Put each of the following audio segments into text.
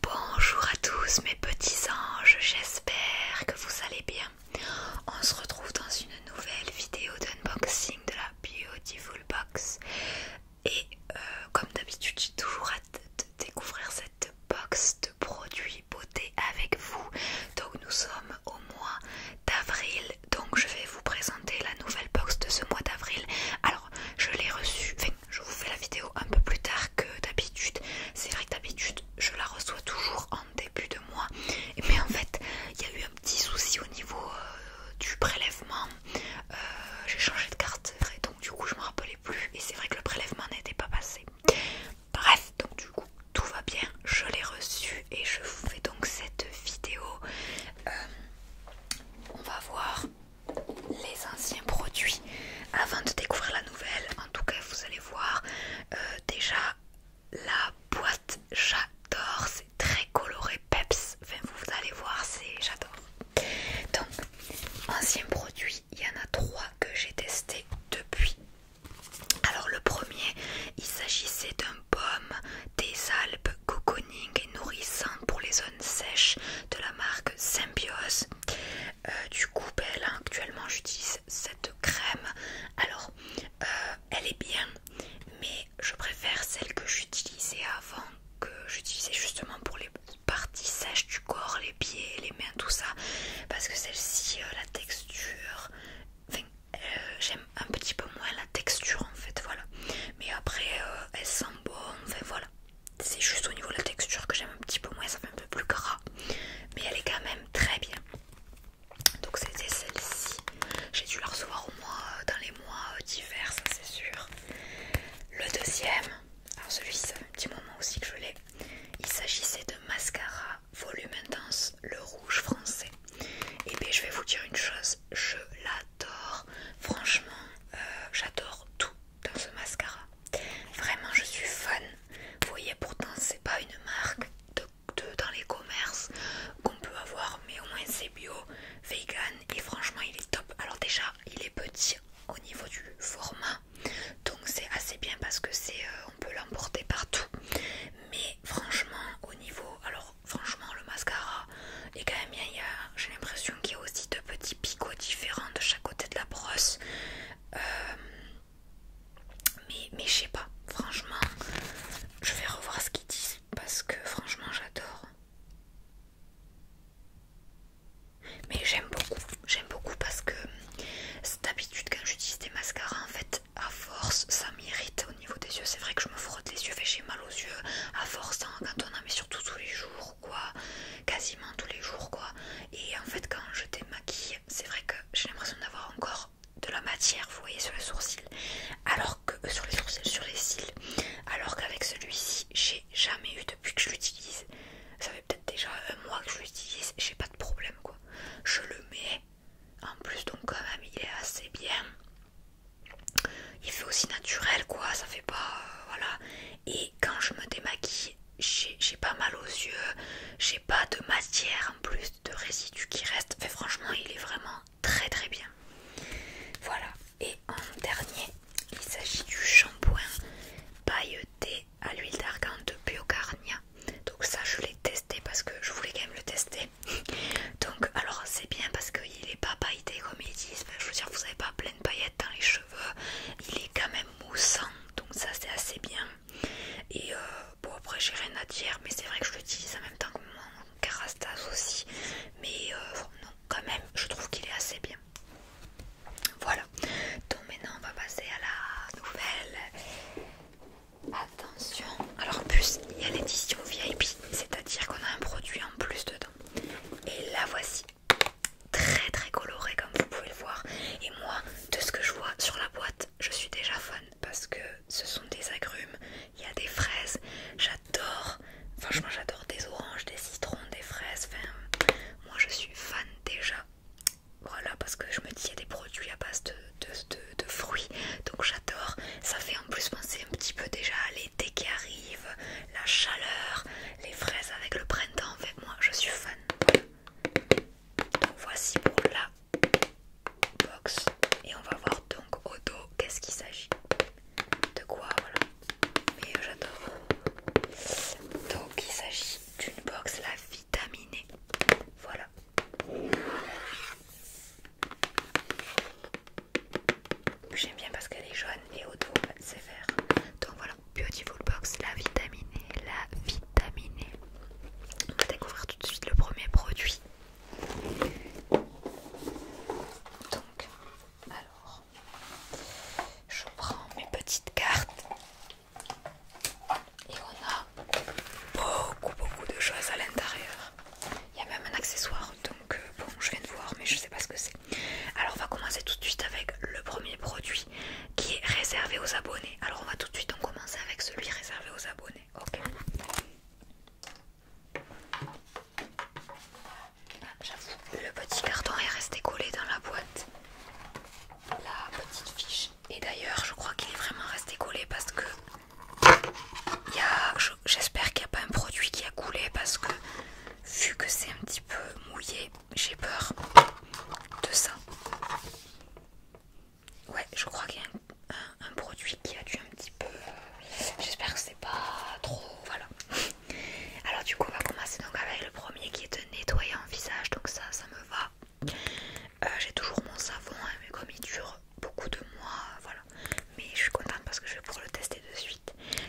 Bonjour à tous mes petits anges, j'espère que vous allez bien. On se retrouve dans une nouvelle vidéo d'unboxing de la Beautiful Box. Et euh, comme d'habitude, j'ai toujours hâte de découvrir cette box de produits beauté avec vous. Donc nous sommes au mois d'avril, donc je vais vous présenter la nouvelle box de ce mois d'avril. Alors je l'ai reçue, je vous fais la vidéo un peu plus tard que d'habitude. C'est vrai que d'habitude, je la reçois toujours en début de mois. Mais en fait, il y a eu un petit souci au niveau euh, du prélèvement. Euh, j'ai changé de carte, vrai. donc du coup, je me rappelais plus. Et c'est vrai que le prélèvement n'était pas passé. Bref, donc du coup, tout va bien. Je l'ai reçu et je vous fais donc cette vidéo. Euh, on va voir les anciens produits avant de découvrir la nouvelle. En tout cas, vous allez voir euh, déjà la boîte. J'adore, c'est très coloré, peps. Enfin, vous allez voir, c'est j'adore. Donc, anciens produits, il y en a trois que j'ai testé depuis. Alors, le premier, il s'agissait d'un baume des Alpes cocooning et nourrissant pour les zones sèches de la marque Symbiose. Euh, du coup, elle ben, actuellement j'utilise cette crème. Alors, euh, elle est bien, mais je préfère celle que j'utilisais avant, que j'utilisais justement pour les parties sèches du corps, les pieds, les mains, tout ça. Parce que celle-ci, euh, la texture, j'aime un petit peu moins la texture en fait, voilà. Mais après, elle sent bon, enfin voilà. C'est juste au niveau de la texture que j'aime un petit peu moins, ça fait un peu plus gras. Mais elle est quand même très bien. Donc c'était celle-ci. J'ai dû la recevoir au mois, euh, dans les mois euh, divers ça c'est sûr. Le deuxième, alors celui-ci ça un petit moment aussi que je l'ai. Il s'agissait de mascara volume intense, le rouge français. Et bien je vais vous dire une chose, je l'adore. Franchement, euh, j'adore tout dans ce mascara. Vraiment, je suis fan. Vous voyez, pourtant, c'est pas une marque de, dans les commerces qu'on peut avoir, mais au moins c'est bio, vegan et franchement, il est top. Alors, déjà, il est petit au niveau du format, donc c'est assez bien parce que c'est euh, on peut l'emporter partout. Mais franchement, au niveau, alors franchement, le mascara est quand même bien. J'ai l'impression qu'il y a aussi deux petits picots différents de chaque côté de la brosse. Euh, mais mais je sais pas, franchement, je vais revoir ce qu'ils disent parce que franchement j'adore. Mais j'aime beaucoup, j'aime beaucoup parce que cette habitude quand j'utilise des mascaras en fait à force ça m'irrite au niveau des yeux. C'est vrai que je me frotte les yeux, fait j'ai mal aux yeux à force hein, quand on surtout tous les jours quoi, quasiment tous les jours quoi. Et en fait, quand je démaquille, c'est vrai que j'ai l'impression d'avoir encore de la matière, vous voyez, sur les sourcils, alors que euh, sur les sourcils, sur les cils, alors qu'avec celui-ci, j'ai jamais eu depuis que je l'utilise. Ça fait peut-être déjà un mois que je l'utilise, j'ai pas de problème quoi. Je le mets en plus, donc quand même, il est assez bien. Il fait aussi naturel quoi, ça fait pas euh, voilà. Et quand je me démaquille, j'ai pas mal aux yeux, j'ai pas de matière en plus de résidus qui reste. Mais franchement, il est vraiment très très bien. Voilà. Et en dernier, il s'agit du shampoing pailleté à l'huile d'argan de Biocarnia. Donc ça, je l'ai testé parce que je voulais quand même le tester. Donc alors c'est bien parce qu'il est pas pailleté comme ils disent. je veux dire, vous avez pas plein de paillettes dans les cheveux il est quand même moussant, donc ça c'est assez bien. Et euh, bon, après j'ai rien à dire, mais c'est vrai que je l'utilise en même temps que mon Carastas aussi. Mais euh, non, quand même, je trouve qu'il est assez bien. Voilà, donc maintenant on va passer à la nouvelle. Attention, alors en plus il y a l'édition VIP, c'est-à-dire qu'on a un produit en plus dedans. Et la voici très très coloré comme vous pouvez le voir et moi de ce que je vois sur la boîte je suis déjà fan parce que ce sont des agrumes, il y a des fraises, j'adore, franchement j'adore des oranges, des citrons, des fraises, enfin moi je suis fan déjà. Voilà parce que je me dis il y a des produits à base de, de, fruits donc j'adore, ça fait en plus penser un petit peu déjà à l'été qui arrive, la chaleur, les fraises avec le printemps, en fait, moi je suis fan. Voici pour la box et on va voir donc au dos qu'est-ce qu'il s'agit. De quoi voilà. Mais euh, j'adore. Donc il s'agit d'une box la vitaminée. E. Voilà. J'aime bien parce qu'elle est jaune et au dos c'est vert. Donc voilà. Beautiful Box, la vitamine e, la vitamine e. On va découvrir tout de suite le premier produit. Donc, alors, je prends mes petites cartes et on a beaucoup, beaucoup de choses à l'intérieur. Il y a même un accessoire, donc euh, bon, je viens de voir, mais je sais pas ce que c'est. Alors on va commencer tout de suite avec le premier produit qui est réservé aux abonnés. Alors on va tout de suite commencer avec celui réservé aux abonnés. Ok. le petit carton est resté collé dans la boîte. La petite fiche. Et d'ailleurs, je crois qu'il est vraiment resté collé parce que j'espère qu'il n'y a pas un produit qui a coulé parce que vu que c'est un petit peu mouillé, j'ai peur de ça. Ouais, je crois qu'il y a un, produit qui a dû un petit peu. Euh, j'espère que c'est pas trop. Voilà. Alors, du coup, on va commencer donc avec le premier qui est nettoyer nettoyant visage. Donc, ça, ça me va. Euh, j'ai toujours mon savon, hein, mais comme il dure beaucoup de mois, voilà. Mais je suis contente parce que je vais pouvoir le tester dessus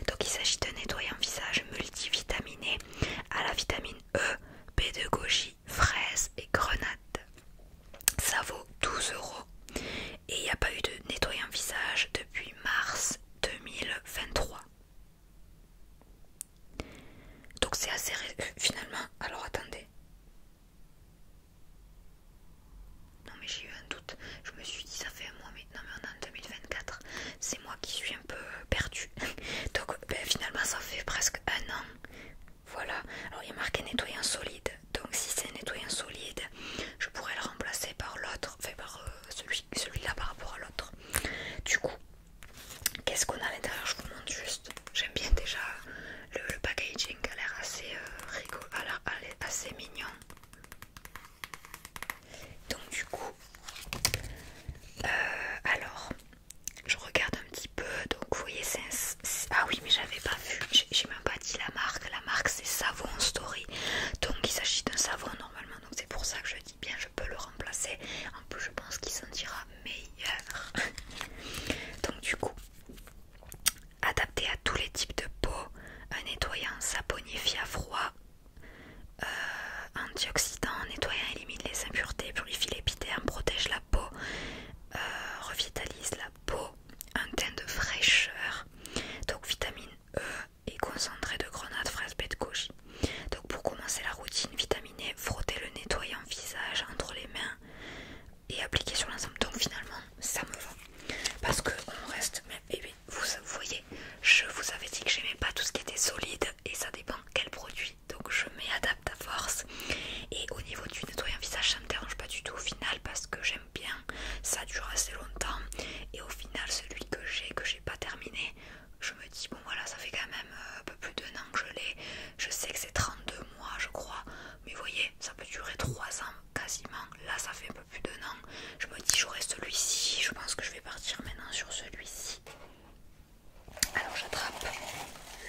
donc il s'agit d'un nettoyant visage multivitaminé à la vitamine E, B de goji, fraises et grenade. Ça vaut 12 euros et il n'y a pas eu de nettoyant visage depuis mars 2023. Donc c'est assez ré... Euh, finalement. Alors attendez. Non mais j'ai eu un doute. Je me suis dit ça fait un mois mais non mais en 2024, c'est moi qui suis un peu perdue. Donc ben, finalement ça fait presque un an. Voilà, alors il y a marqué nettoyant solide. Donc si c'est un nettoyant solide, je pourrais le remplacer par l'autre, enfin par euh, celui-là par rapport à l'autre. Du coup, qu'est-ce qu'on a à l'intérieur Je vous montre juste. J'aime bien déjà le, packaging, packaging, a l'air assez, euh, ah, ah, est assez mignon. Donc du coup, euh, alors, je regarde un petit peu. Donc vous voyez, c'est un... ah oui, mais j'avais pas vu. J'ai même pas dit la marque. La marque c'est Savon Story. Donc il s'agit d'un savon normalement. Donc c'est pour ça que je dis bien, je peux le remplacer. En plus, je pense qu'il sentira meilleur. donc du coup, adapté à tous les types de peau, un nettoyant saponifié à froid euh, antioxydant, nettoyant, élimine les impuretés, purifie l'épiderme, protège la peau, euh, revitalise la peau, un teint de fraîcheur. Donc vitamine E et concentré de grenade, fraise, baie de goji. Donc pour commencer la routine, vitamine E, frotter le nettoyant visage entre les mains et appliquer sur l'ensemble. Donc finalement ça me va parce qu'on reste, même eh vous, voyez, je vous avais dit que j'aimais pas tout ce qui était solide et ça dépend quel produit. Donc je m'adapte adapte à force. Et au niveau du nettoyant visage, ça me dérange pas du tout au final parce que j'aime bien. Ça dure assez longtemps. Et au final, celui que j'ai, que j'ai pas terminé, je me dis bon voilà, ça fait quand même euh, un peu plus d'un an que je l'ai. Je sais que c'est 32 mois, je crois. Mais vous voyez, ça peut durer 3 ans quasiment. Là, ça fait plus Je me dis j'aurai celui-ci. Je pense que je vais partir maintenant sur celui-ci. Alors j'attrape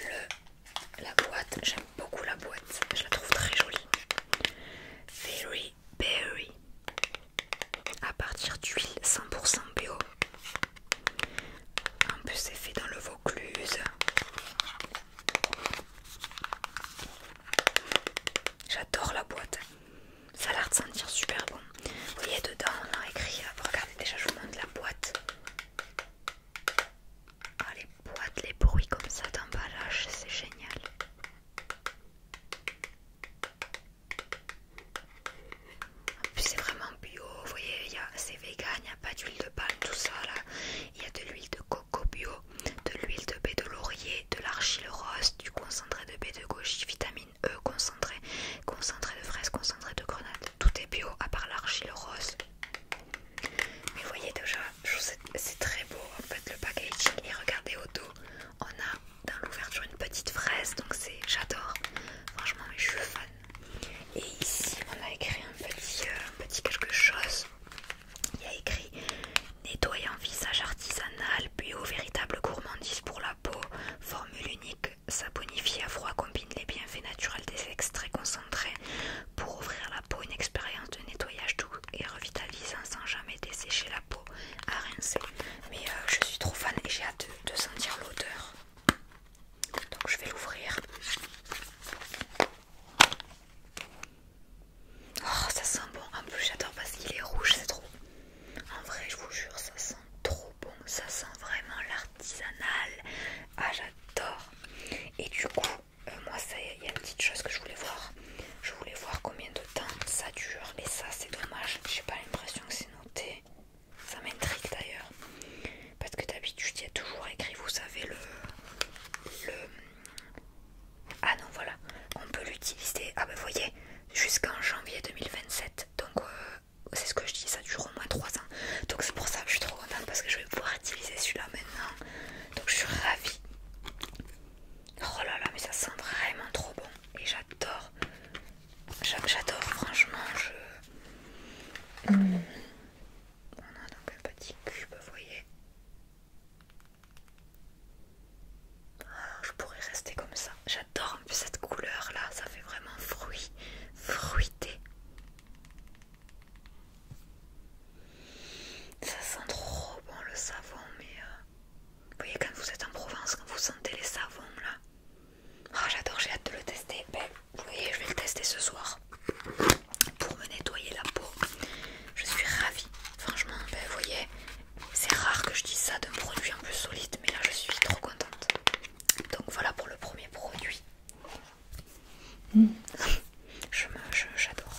le, la boîte. J'aime beaucoup la boîte. Je la trouve très jolie. Very Berry. À partir d'huile 100% bio. En plus c'est fait dans le Vaucluse. J'adore la boîte. Ça a l'air de sentir super bon. Vous voyez, dedans, on a écrit. Euh, regardez, déjà, je vous montre la boîte. Ah, les boîtes, les bruits comme ça d'emballage, c'est génial. En plus, c'est vraiment bio. Vous voyez, c'est vegan, il n'y a pas d'huile de palme, tout ça là. Il y a de l'huile de coco bio, de l'huile de baie de laurier, de l'argile rose, du concentré de baie de gauche, vitamine euh, concentré, concentré de fraises, concentré de grenades. Tout est bio à part l'argile rose. Mais voyez déjà, c'est très beau en fait le packaging. Et regardez au dos, on a dans l'ouverture une petite fraise, donc c'est j'adore. Franchement, je suis fan. Et ici, on a écrit euh, un petit, quelque chose. Il y a écrit nettoyant visage artisanal, bio, véritable gourmandise pour la peau. Formule unique, bonifie à froid combine les bienfaits naturels des extraits concentrés pour ouvrir la peau une expérience de nettoyage doux et revitalisant sans jamais dessécher la peau à rincer. Mais euh, je suis trop fan et j'ai hâte de, sentir l'odeur. Donc je vais l'ouvrir. Oh, ça sent bon. En plus, j'adore parce qu'il est rouge, c'est trop. En vrai, je vous jure, ça sent trop bon. Ça sent vraiment l'artisanal. Ah, j'adore. Et du coup, euh, moi, il y a une petite chose que je voulais voir. Je voulais voir combien de temps ça dure. Et ça, c'est dommage. J'ai pas l'impression que c'est noté. Ça m'intrigue d'ailleurs. Parce que d'habitude, il y a toujours écrit, vous savez, le. le... Ah non, voilà. On peut l'utiliser. Ah, bah, ben, vous voyez, jusqu'en janvier 2027. Donc euh, c'est ce que je dis, ça dure au moins 3 ans. Donc c'est pour ça que je suis trop contente parce que je vais pouvoir utiliser celui-là maintenant. Donc je suis ravie. Oh là là, mais ça sent vraiment trop bon. Et j'adore. J'adore, franchement. Je... Mm. On a donc un petit cube, vous voyez je pourrais rester comme ça. J'adore cette couleur là, ça fait vraiment fruit, fruité. Ça sent trop bon le savon, mais euh, vous voyez quand vous êtes en Provence, quand vous sentez les savons là. Ah, j'adore, j'ai hâte de le tester. Ben, vous voyez, je vais le tester ce soir pour me nettoyer la peau. Je suis ravie, franchement. Ben, vous voyez, c'est rare que je dise ça d'un produit un peu solide, mais là je suis trop contente. Donc voilà pour le premier produit. J'adore.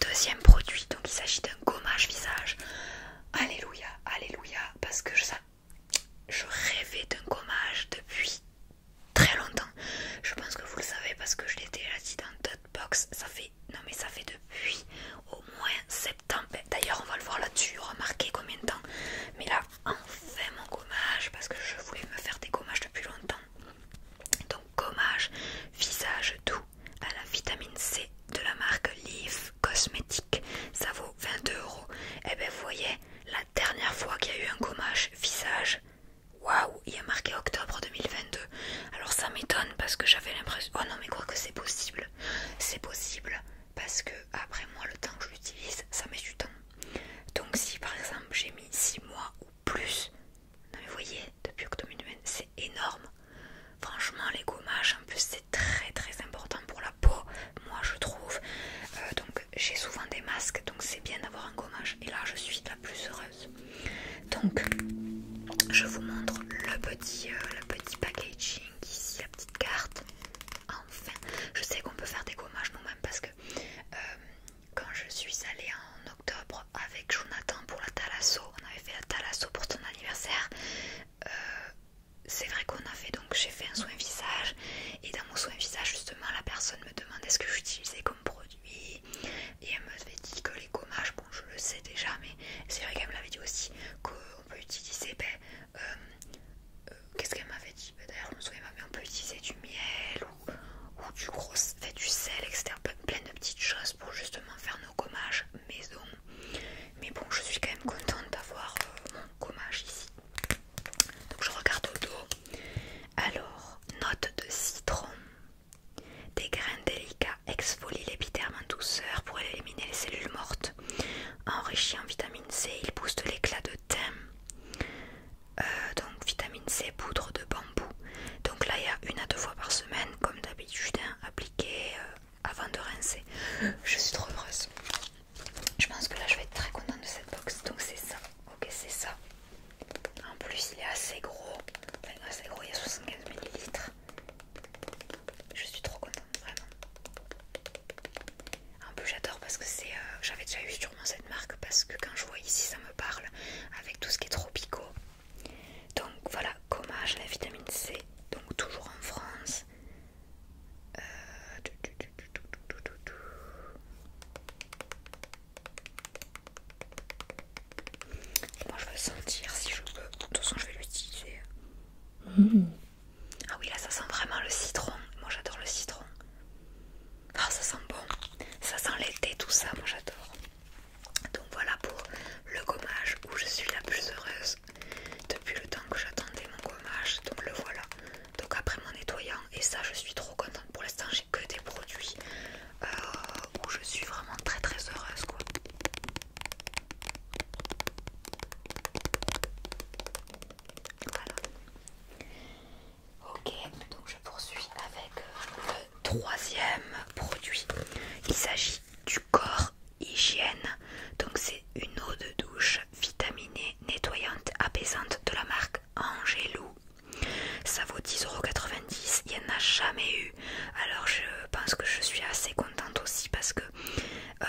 Deuxième produit, donc il s'agit d'un gommage visage. Alléluia, alléluia, parce que je, ça, je rêvais d'un gommage depuis très longtemps. Je pense que vous le savez parce que je l'ai déjà dit dans d'autres box. Ça fait non mais ça fait depuis au moins septembre. D'ailleurs, on va le voir là-dessus, remarquez combien de temps. Mais là, enfin mon gommage, parce que je voulais me faire des gommages depuis longtemps. Donc, gommage, visage doux à la vitamine C de la marque Leaf Cosmétique. Ça vaut 22 euros. Et eh bien, vous voyez, la dernière fois qu'il y a eu un gommage visage, waouh, il y a marqué octobre 2022. Alors, ça m'étonne parce que j'avais l'impression. Oh non, mais quoi que c'est possible. C'est possible parce que après moi le temps que je l'utilise ça met du temps. Donc si par exemple j'ai mis six mois ou plus, vous voyez depuis octobre c'est énorme. Franchement les gommages en plus c'est très très important pour la peau, moi je trouve. Euh, donc j'ai souvent des masques donc c'est bien d'avoir un gommage et là je suis la plus heureuse. Donc je vous montre le petit, euh, le petit packaging ici la petite carte. Enfin, je sais qu'on peut faire des gommages nous-mêmes parce que euh, quand je suis allée en octobre avec Jonathan pour la talasso on avait fait la talasso pour ton anniversaire. Euh, c'est vrai qu'on a fait donc j'ai fait un soin visage et dans mon soin visage justement la personne me demandait ce que j'utilisais comme produit et elle me dit que les gommages je le sais déjà mais c'est vrai qu'elle me dit aussi qu'on peut utiliser ben, euh, euh, qu'est-ce qu'elle m'avait dit ben, d'ailleurs me on peut utiliser du miel ou, du gros fait du sel etc plein de petites choses pour justement faire nos gommages maison mais bon je suis quand même contente d'avoir euh, mon gommage ici donc je regarde au dos alors note de citron des graines délicates exfolie l'épiderme en douceur pour éliminer les cellules mortes. Enrichi en vitamine C, il booste l'éclat de teint. Euh, donc vitamine C, poudre de bambou. Donc là il y a une à deux fois par semaine, comme d'habitude, hein, appliqué euh, avant de rincer. Je suis trop heureuse. Je pense que là je vais être très contente de cette box. Donc c'est ça. Ok c'est ça. En plus il est assez gros. assez gros, il y a 75 ml. Je suis trop contente, vraiment. Un peu j'adore parce que c'est, euh, j'avais déjà eu sûrement cette marque parce que quand je vois ici ça me parle avec tout ce qui est tropico. Donc voilà, gommage, la vitamine C, donc toujours en France. Moi je vais sentir si je veux. De toute façon je vais l'utiliser. Ah oui, là ça sent vraiment le citron. Moi j'adore le citron. Ah, ça sent bon. Ça sent l'été, tout ça. Moi j'adore. Donc voilà pour le gommage où je suis la plus heureuse depuis le temps que j'attendais mon gommage. Donc le voilà. Donc après mon nettoyant, et ça je suis trop contente. Pour l'instant, j'ai que des produits euh, où je suis vraiment très très heureuse quoi. Ok, donc je poursuis avec euh, le troisième produit. Il s'agit du corps hygiène. Donc c'est une eau de douche vitaminée, nettoyante, apaisante de la marque Angelou. Ça vaut 10,90€, il n'y en a jamais eu. Alors je pense que je suis assez aussi parce que euh,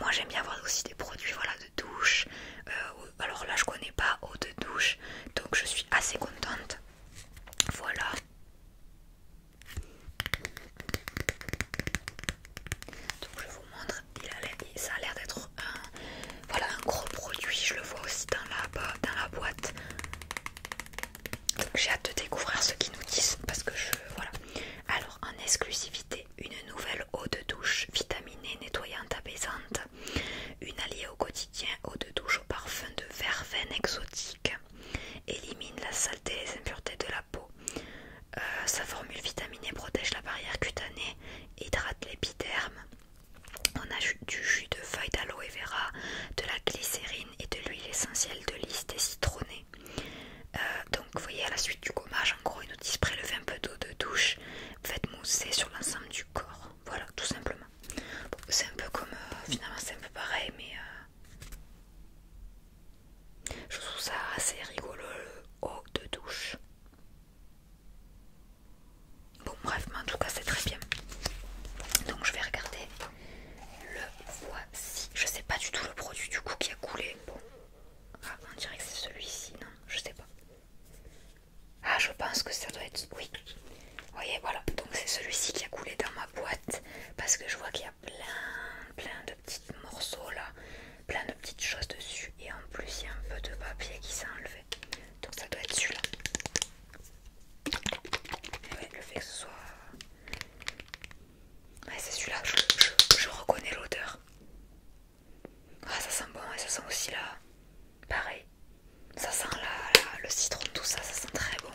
moi j'aime bien avoir aussi des produits voilà, de douche. Euh, alors là je connais pas eau de douche donc je suis assez contente. Voilà. Donc je vous montre, il ça a l'air d'être un, voilà, un gros produit, je le vois aussi dans la boîte. J'ai hâte de découvrir ce qu'ils nous disent parce que je. Voilà. Alors, en exclusivité, une nouvelle eau de douche vitaminée, nettoyante, apaisante. Une alliée au quotidien, eau de douche au parfum de verveine exotique. Élimine la saleté et les impuretés de la peau. Euh, sa formule vitaminée protège la barrière cutanée, hydrate l'épiderme. On ajoute du jus de feuilles d'aloe vera, de la glycérine et de l'huile essentielle de lys, des euh, donc vous voyez à la suite du gommage en gros ils nous disent prélevez un peu d'eau de douche, faites mousser sur l'ensemble du corps, voilà tout simplement. c'est un peu comme euh, finalement c'est un peu pareil mais euh, je trouve ça assez rigolo le eau de douche. Bon bref mais en tout cas c'est très bien. Donc je vais regarder le voici. Je sais pas du tout le produit du coup qui a coulé. Bon. Ah, on dirait que c'est celui-ci, non Je sais pas. Ah, je pense que ça doit être. Oui. Oui voyez, voilà. Donc c'est celui-ci qui a coulé dans ma boîte. Parce que je vois qu'il y a plein, plein de petits morceaux là. Plein de petites choses dessus. Et en plus, il y a un peu de papier qui s'est enlevé. Donc ça doit être celui-là. le fait que ce soit c'est celui-là, je, reconnais l'odeur. Ah, ça sent bon et ça sent aussi là. Pareil, ça sent là le citron, tout ça, ça sent très bon.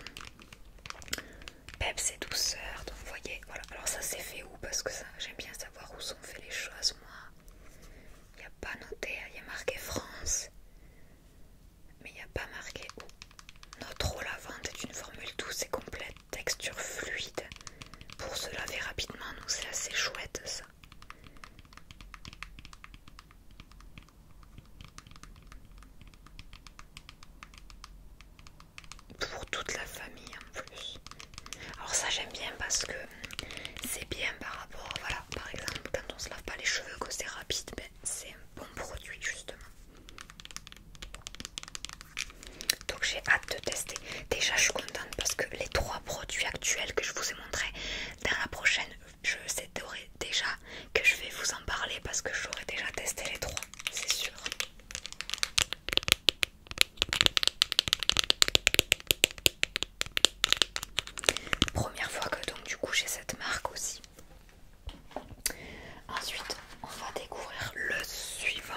pep c'est douceur, donc vous voyez, voilà. Alors, ça c'est fait où Parce que j'aime bien savoir où sont faites les choses, moi. Il n'y a pas noté, hein. il y a marqué France, mais il n'y a pas marqué où. Notre eau lavante est une formule douce et complète, texture fluide. Pour se laver rapidement, nous c'est assez chouette ça. Pour toute la famille en plus. Alors ça j'aime bien parce que c'est bien par rapport, voilà, par exemple quand on se lave pas les cheveux que c'est rapide, ben, c'est un bon produit justement. Donc j'ai hâte de tester. Déjà je suis contente parce que les trois produits actuels que je vous ai montrés dans la prochaine, je sais déjà que je vais vous en parler parce que j'aurai déjà testé les trois, c'est sûr. Première fois que donc du coup j'ai cette marque aussi. Ensuite, on va découvrir le suivant.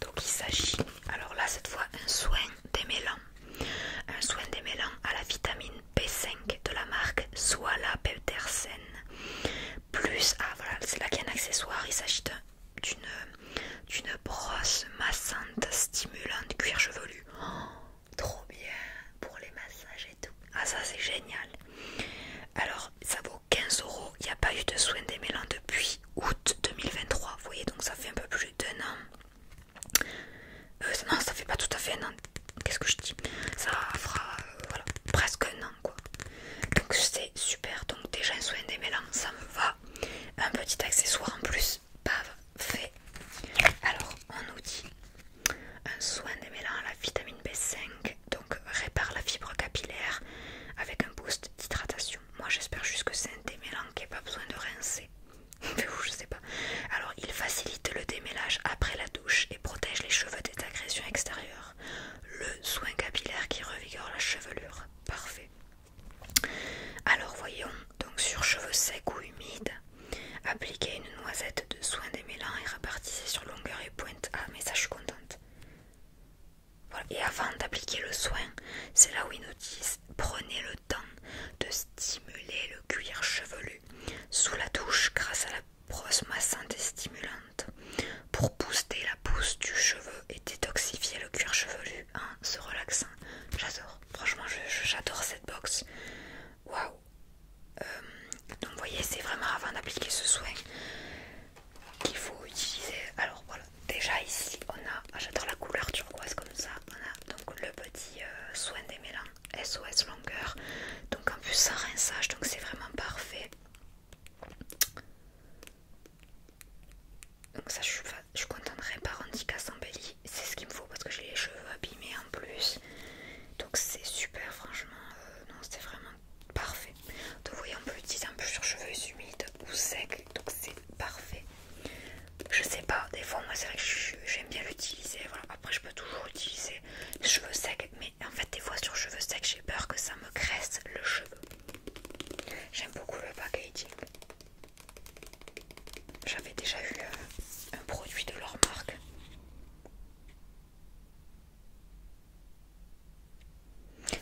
Donc il s'agit, alors là cette fois, un soin démêlant. Un soin démêlant à la vitamine B5 de la marque Soala Petersen. Plus, ah voilà, c'est là qu'il y a un accessoire. Il s'agit d'une brosse massante stimulante cuir chevelu. Oh, trop bien pour les massages ah ça c'est génial. Alors ça vaut 15 euros. Il n'y a pas eu de soin des mélans depuis août 2023. Vous voyez donc ça fait un peu plus d'un an. Euh, non ça fait pas tout à fait un an. Qu'est-ce que je dis Ça fera euh, presque un an quoi. Donc c'est super. Donc déjà un soin des mélans ça me va. Un petit accessoire en plus. fait Alors on nous dit un soin des mélans à la vitamine B5 donc répare la fibre capillaire avec un boost d'hydratation. Moi j'espère juste que c'est un démêlant qui n'a pas besoin de rincer. Je sais pas. Alors il facilite le démêlage après la douche et protège les cheveux des agressions extérieures. Le soin capillaire qui revigore la chevelure. Parfait. Alors voyons, donc sur cheveux secs ou humides, appliquez une noisette de soin démêlant et répartissez sur longueur et pointe. Ah mais ça je suis contente. Et avant d'appliquer le soin, c'est là où ils nous disent prenez le temps de stimuler le cuir chevelu sous la douche grâce à la brosse massante et stimulante pour booster la pousse du cheveu et détoxifier le cuir chevelu en se relaxant. J'adore, franchement, j'adore cette box. Waouh, euh, donc vous voyez c'est vraiment avant d'appliquer ce soin qu'il faut utiliser. Alors voilà, déjà ici on a, ah, j'adore la couleur turquoise comme ça, on a donc le petit euh, soin des mélanges SOS longueur. Donc en plus ça rinçage, donc c'est vraiment parfait. Donc ça je suis, je contente de réparer sans belly, c'est ce qu'il me faut parce que j'ai les cheveux abîmés en plus. Donc c'est super franchement, euh, non c'était vraiment parfait. Donc vous voyez on peut l'utiliser en plus sur cheveux humides ou secs, donc c'est parfait. Je sais pas, des fois moi c'est vrai que j'aime bien l'utiliser, voilà. Après je peux toujours utiliser cheveux secs, mais en fait des fois sur cheveux secs j'ai peur que ça me graisse le cheveu. J'aime beaucoup le packaging. J'avais déjà eu euh, un produit de leur marque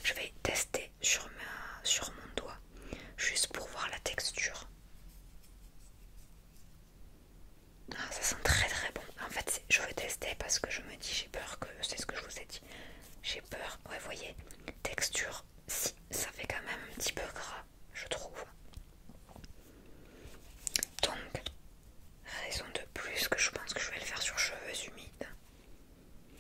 je vais tester sur, mon doigt, juste pour voir la texture. Ah, ça sent très très bon. En fait, je vais tester parce que je me dis, j'ai peur que, c'est ce que je vous ai dit, j'ai peur, ouais, voyez, texture, si, ça fait quand même un petit peu gras, je trouve. Donc, Raison de plus que je pense que je vais le faire sur cheveux humides.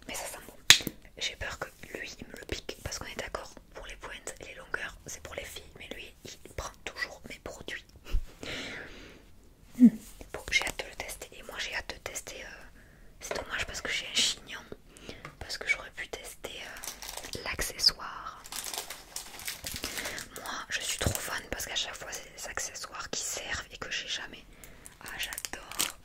Mais ça sent bon. J'ai peur que lui me le pique parce qu'on est d'accord pour les pointes, les longueurs, c'est pour les filles, mais lui il prend toujours mes produits. Hmm. Bon, j'ai hâte de le tester et moi j'ai hâte de tester. Euh, c'est dommage parce que j'ai un chignon, parce que j'aurais pu tester euh, l'accessoire. Moi je suis trop fan parce qu'à chaque fois c'est accessoires qui servent et que j'ai jamais. Ah, j'adore!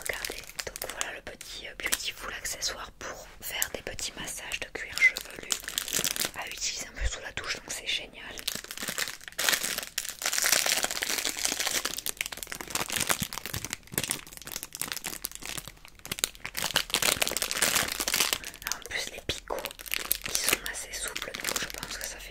Regardez, donc voilà le petit euh, Beautiful accessoire pour faire des petits massages de cuir chevelu à utiliser un peu sous la douche, donc c'est génial. en plus les picots qui sont assez souples donc je pense que ça fait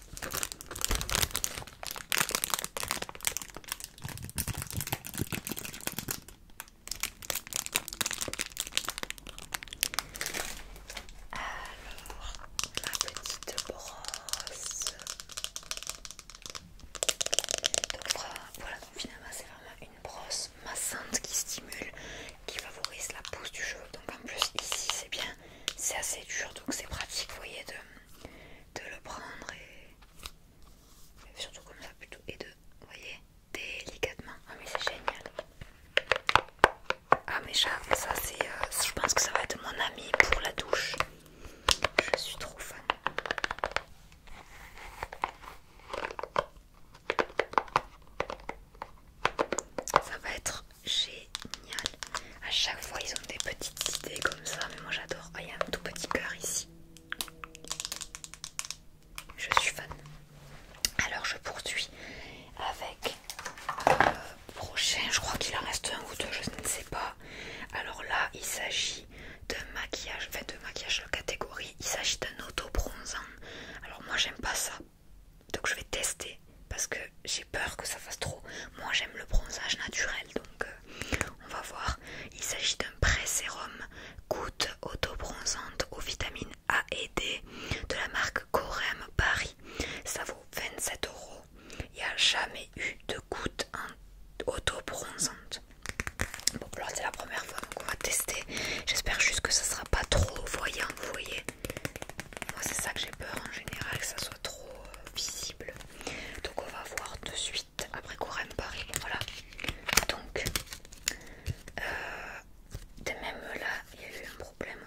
Alors, la petite brosse. Donc voilà, finalement c'est vraiment une brosse massante qui stimule, qui favorise la pousse du cheveu. Donc en plus ici c'est bien c'est assez dur donc c'est pratique vous voyez de, le prendre et surtout comme ça plutôt et de voyez délicatement ah mais c'est génial ah mais ça, ça c'est euh, je pense que ça va être mon ami pour la douche je suis trop fan ça va être génial. À chaque fois, ils ont des petites idées comme ça, mais moi j'adore. Ah, il y a un tout petit cœur ici. Je suis fan. Alors, je poursuis avec euh, prochain. Je crois qu'il en reste un ou deux, je ne sais pas. Alors là, il s'agit d'un maquillage, enfin, de maquillage catégorie. Il s'agit d'un auto-bronzant. Alors, moi j'aime pas ça donc je vais tester parce que j'ai peur que ça fasse trop. Moi j'aime le bronzage naturel donc euh, on va voir. Il s'agit d'un pré-sérum goutte auto-bronzante aux vitamines A et D de la marque Corem Paris. Ça vaut 27 euros. Il n'y a jamais eu de goutte auto-bronzante. Bon, alors c'est la première fois qu'on on va tester. J'espère juste que ça ne sera pas trop voyant, vous voyez. Moi c'est ça que j'ai peur en général, que ça soit trop euh, visible. Donc on va voir de suite après qu'on Paris. Voilà. Donc euh, de même là, il y a eu un problème.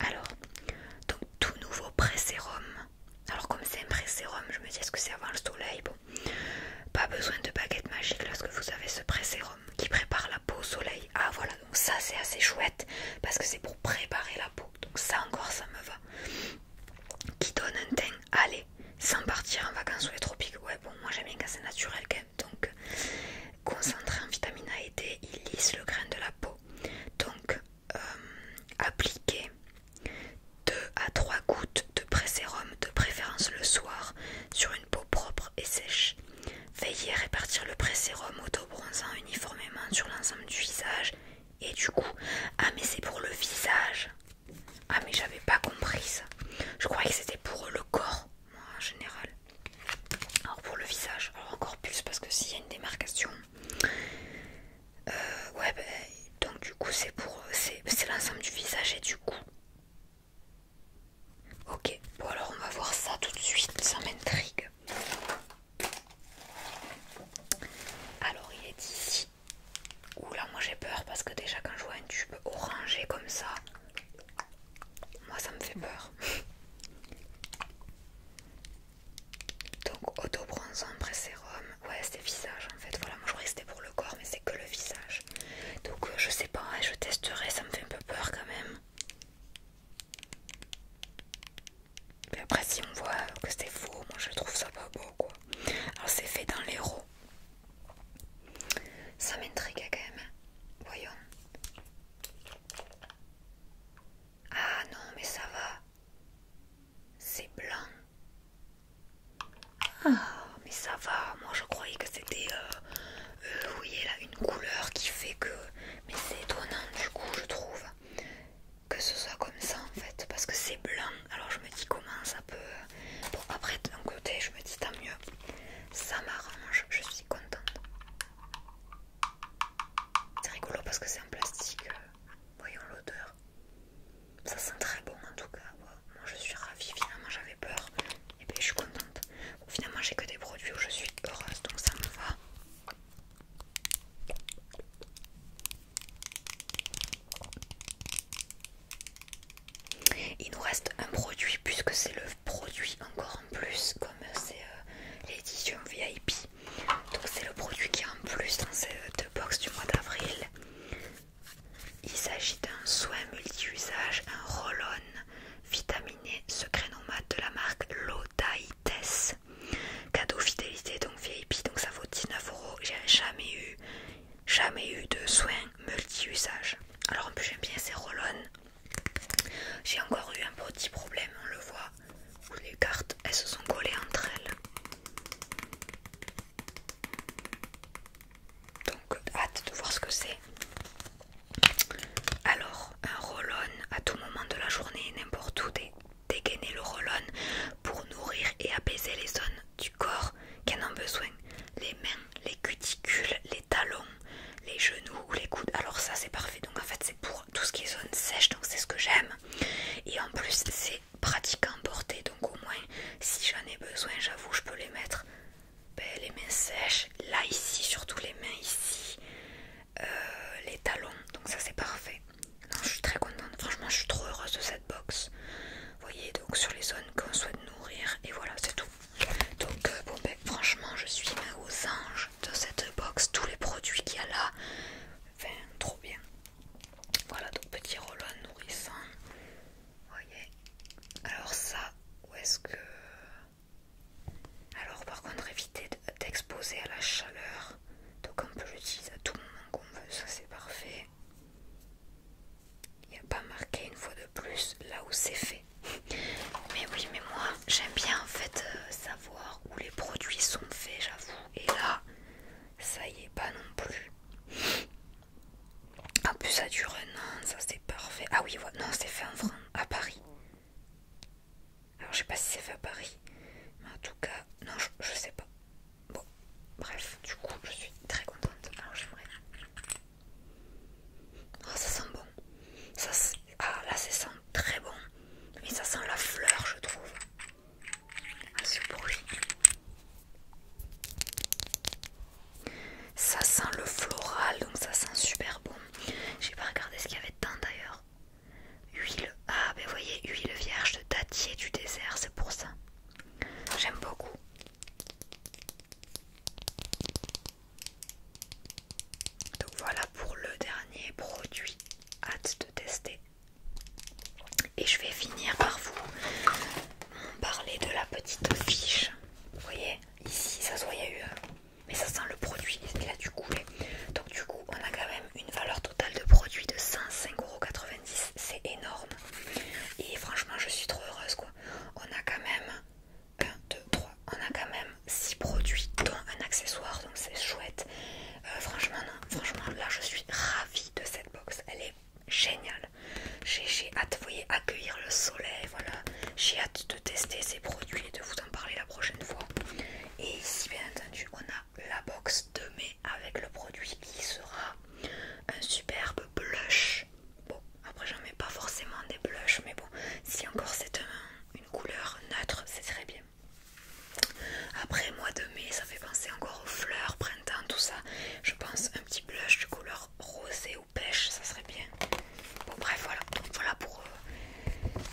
Alors, donc tout nouveau pré Alors comme c'est un pré je me dis est-ce que c'est avant le soleil Bon, pas besoin de baguette magique lorsque vous avez ce pré qui prépare la peau au soleil. Ah voilà, ça c'est assez chouette parce que c'est pour préparer la peau donc ça encore ça me va qui donne un teint allez sans partir en vacances ou les tropiques ouais bon moi j'aime bien quand c'est naturel quand même donc concentré en vitamine A et D il lisse le grain de la peau donc euh, appliquer 2 à 3 gouttes de pré-sérum, de préférence le soir sur une peau propre et sèche Veillez répartir le pré-sérum auto-bronzant uniformément sur l'ensemble du visage et du cou. Ah, mais c'est pour le visage. Ah, mais j'avais pas compris ça. Je croyais que c'était pour le corps, moi en général. Alors pour le visage, alors encore plus parce que s'il y a une démarcation. Euh, ouais, bah, donc du coup, c'est pour. C'est l'ensemble du visage et du coup Ok, bon alors on va voir ça tout de suite, ça m'intrigue alors il est ici oula là moi j'ai peur parce que déjà quand je vois un tube orangé comme ça moi ça me fait peur donc auto bronzant sérum, ouais c'est visage en fait voilà moi je croyais que c'était pour le corps mais c'est que le visage donc euh, je sais pas hein, je testerai ça me fait un peu peur quand même mais après si on voit que c'est faux, moi je trouve ça pas beau quoi. Alors c'est fait dans l'héros. Ça m'intrigue hein, quand même. Hein. Voyons. Ah non mais ça va. C'est blanc. Ah mais ça va. Moi je croyais que c'était euh, euh, oui vous voyez une couleur qui fait que... Mais c'est étonnant du coup je trouve que ce soit comme ça en fait parce que c'est blanc alors je me dis comment ça peut... Bon après d'un côté je me dis tant mieux ça m'arrange je suis contente c'est rigolo parce que c'est en plastique euh, voyons l'odeur ça sent très bon en tout cas moi je suis ravie finalement j'avais peur et eh puis ben, je suis contente Finalement, j'ai que des produits où je suis heureuse, donc ça me va. Il nous reste un produit puisque c'est le produit encore en plus comme c'est euh, l'édition VIP. Donc c'est le produit qui est en plus dans ces euh, deux box du mois d'avril. Il s'agit d'un soin multi-usage, un roll-on vitaminé e, nomade de la marque Lotaites. Cadeau fidélité, donc VIP, donc ça vaut 19 euros. J'ai jamais eu, jamais eu de soins multi-usage. Alors en plus j'aime bien ces roll J'ai encore eu un petit problème, on le voit, les cartes elles se sont collées entre elles. Donc hâte de voir ce que c'est. Alors, un roll à tout moment de la journée, n'importe où, dégainer le roll pour nourrir et apaiser les zones du corps qui en ont besoin. Les mains, les cuticules, les talons, les genoux ou les coudes. Alors ça c'est parfait. Donc en fait c'est pour tout ce qui est zone sèche, donc c'est ce que j'aime. Et en plus c'est pratique à emporter. Donc au moins si j'en ai besoin, j'avoue, je peux les mettre. Ben, les mains sèches, là ici, surtout les mains ici, euh, les talons, donc ça c'est parfait. Non, je suis très contente, franchement je suis trop heureuse de cette box. voyez, donc sur les zones qu'on souhaite nourrir, et voilà, c'est tout. Donc, euh, bon, ben, franchement, je suis aux anges de cette box, tous les produits qu'il y a là, enfin, trop bien. Voilà, donc petit roll nourrissant. Vous voyez, alors ça, où est-ce que. Alors par contre éviter d'exposer à la chaleur. Donc on peut l'utiliser à tout moment qu'on veut, ça c'est parfait. Il n'y a pas marqué une fois de plus là où c'est fait. Mais oui, mais moi j'aime bien en fait euh, savoir où les produits sont faits, j'avoue. Et là, ça y est pas non plus. En plus ça dure un an, ça c'est parfait. Ah oui, non c'est fait en France, à Paris. Alors je sais pas si c'est fait à Paris, mais en tout cas, non, je, sais pas. Bon, bref, du coup, je suis très contente. Alors j'aimerais. Oh, ça sent bon. ah, là, ça sent très bon. Mais ça sent la fleur, je trouve. Ah, ce Ça sent le floral, donc ça sent super bon. J'ai pas regardé ce qu'il y avait dedans d'ailleurs. Huile, ah vous voyez, huile vierge de dattier du désert, c'est pour ça. J'aime beaucoup. Donc voilà pour le dernier produit. Hâte de tester. Et je vais finir par vous parler de la petite fiche. Vous voyez, ici ça se il y a eu mais ça sent le produit, il a du couler. Donc du coup, on a quand même une valeur totale de produits de 105,90€, c'est énorme. Et franchement, je suis trop heureuse quoi. On a quand même 1, 2, 3, on a quand même 6 produits dont un accessoire, donc c'est chouette. Euh, franchement, franchement, là je suis ravie de cette box, elle est géniale. J'ai hâte, vous voyez, accueillir le soleil, voilà. J'ai hâte de tester ces produits et de vous parler la prochaine fois. Et ici, bien entendu, on a la box de mai avec le produit qui sera un superbe blush. Bon, après, j'en mets pas forcément des blushs, mais bon, si encore c'est une couleur neutre, c'est très bien. Après, mois de mai, ça fait penser encore aux fleurs, printemps, tout ça. Je pense un petit blush de couleur rosée pêche, ça serait bien. Bon, bref, voilà. voilà pour euh,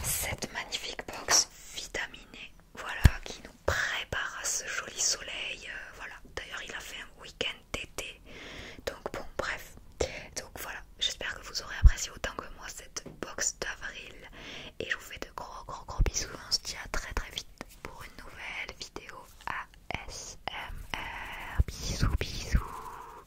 cette magnifique box vitaminée. E, voilà qui nous prépare à ce joli soleil. Euh, voilà, d'ailleurs, il a fait un week-end d'été. Donc, bon, bref. Donc, voilà. J'espère que vous aurez apprécié autant que moi cette box d'avril. Et je vous fais de gros, gros, gros bisous. On se dit à très, très vite pour une nouvelle vidéo ASMR. Bisous, bisous.